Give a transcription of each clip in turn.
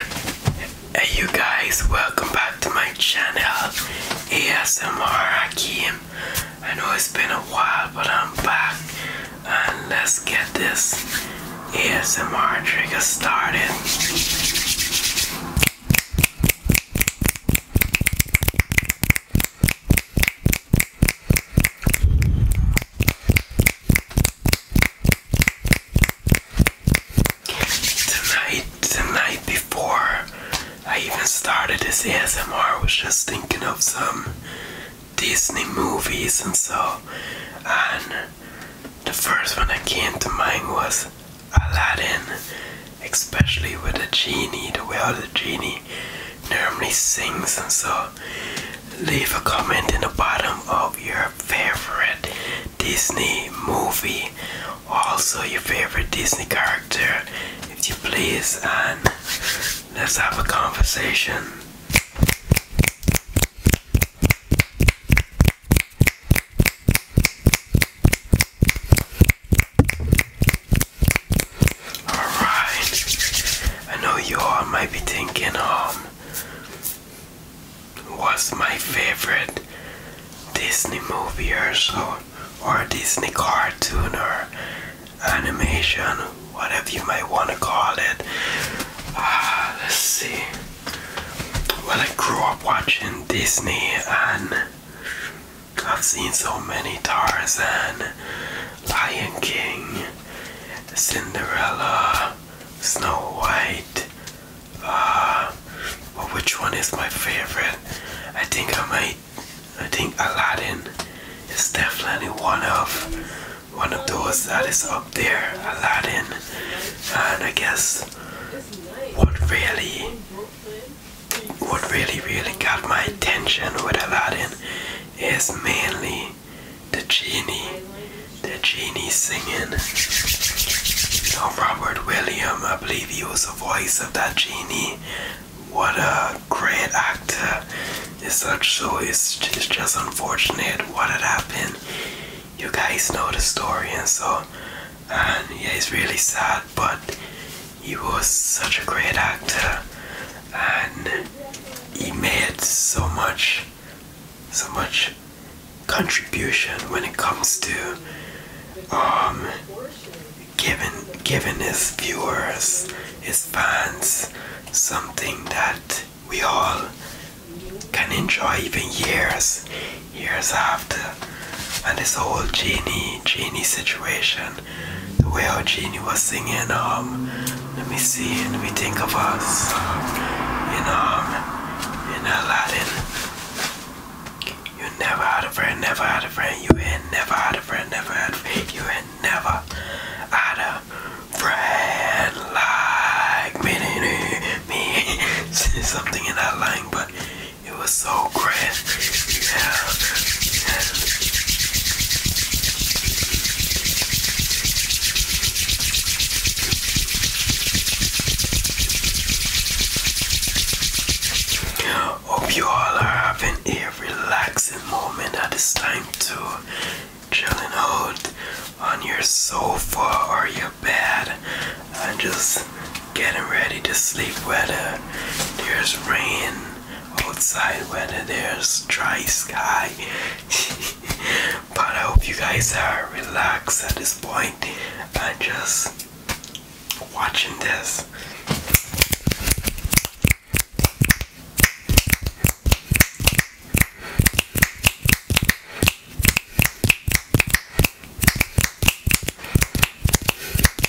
Hey you guys, welcome back to my channel ASMR Hakim. I know it's been a while but I'm back and let's get this ASMR trigger started. The the night before I even started this ASMR, I was just thinking of some Disney movies and so, and the first one that came to mind was Aladdin, especially with the genie, the way how the genie normally sings and so. Leave a comment in the bottom of your favorite Disney movie, also your favorite Disney character, if you please, and let's have a conversation. Alright, I know you all might be thinking, um, was my favorite Disney movie or so, or Disney cartoon or animation, whatever you might want to call it. Ah, let's see. Well, I grew up watching Disney and I've seen so many Tarzan, Lion King, Cinderella, Snow White. Uh, which one is my favorite? I think I might. I think Aladdin is definitely one of one of those that is up there. Aladdin, and I guess what really, what really, really got my attention with Aladdin is mainly the genie, the genie singing. You oh, know, Robert William, I believe he was the voice of that genie. What a great actor! It's such so it's, it's just unfortunate what had happened. You guys know the story, and so and yeah, it's really sad, but he was such a great actor and he made so much so much contribution when it comes to um, giving giving his viewers his fans something that we all can enjoy even years years after and this whole genie genie situation the way our Genie was singing, um, let me see, let me think of us um, in um in Aladdin. You never had a friend, never had a friend, you ain't never had a friend, never had a friend, you ain't never had a friend like me, me, me. something in that line, but it was so great. Hope you all are having a relaxing moment at this time too. Chilling out on your sofa or your bed and just getting ready to sleep whether there's rain outside weather there's dry sky. but I hope you guys are relaxed at this point point. I'm just watching this.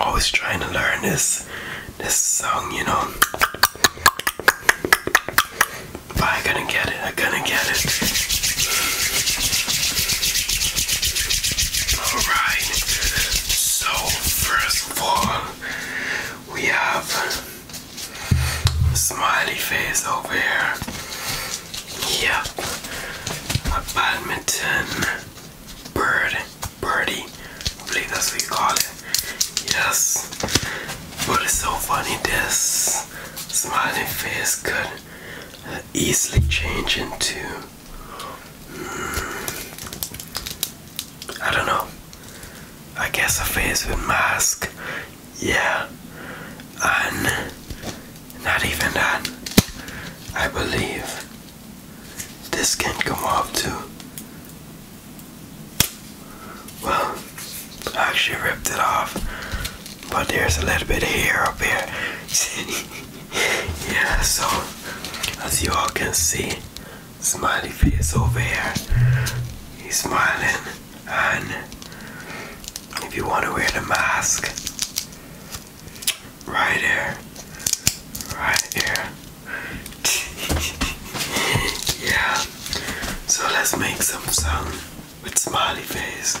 Always trying to learn this this song, you know. I gonna get it, I gonna get it. Alright, so first of all we have Smiley face over here. Yep. A badminton bird. Birdie. I believe that's what you call it. Yes. But it's so funny this smiling face could easily change into hmm, I don't know. I guess a face with mask. Yeah. And not even that. I believe this can come off too. Well, I actually ripped it off. But there's a little bit of hair up here. yeah, so as you all can see, smiley face over here. He's smiling, and if you want to wear the mask, right here, right here. yeah. So let's make some sound with smiley face.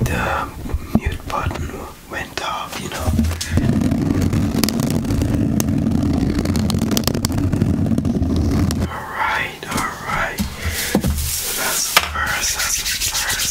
the uh, mute button went off, you know. Alright, alright. that's the first, that's the first.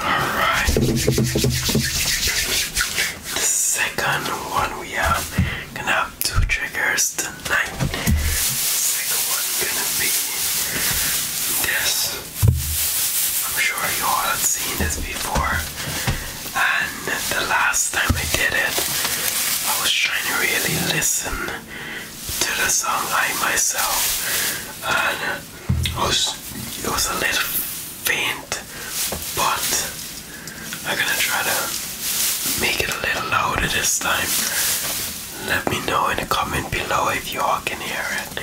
Alright. The second one we have gonna have two triggers tonight. second one gonna be this. I'm sure you all have seen this before. And the last time I did it, I was trying to really listen to the song I myself, and it was, it was a little faint, but I'm gonna try to make it a little louder this time. Let me know in the comment below if you all can hear it.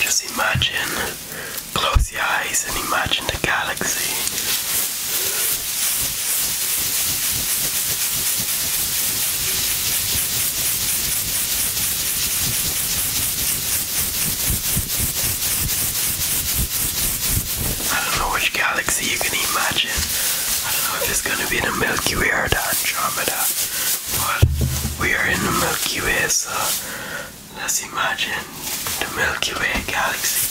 Just imagine, close your eyes and imagine the galaxy. I don't know which galaxy you can imagine. I don't know if it's gonna be the Milky Way or the Andromeda. But we are in the Milky Way, so let's imagine the Milky Way galaxy.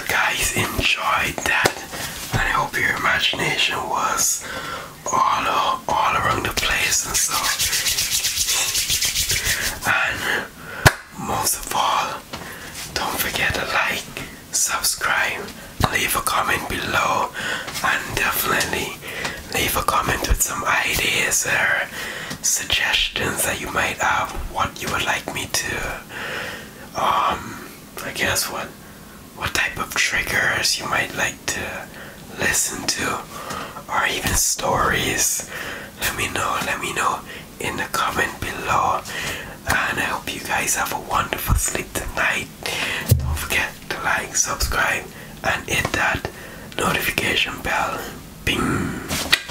guys enjoyed that. And I hope your imagination was all, all around the place and so. And most of all, don't forget to like, subscribe, leave a comment below, and definitely leave a comment with some ideas or suggestions that you might have, what you would like me to um, I guess what what type of triggers you might like to listen to or even stories let me know let me know in the comment below and I hope you guys have a wonderful sleep tonight don't forget to like subscribe and hit that notification bell bing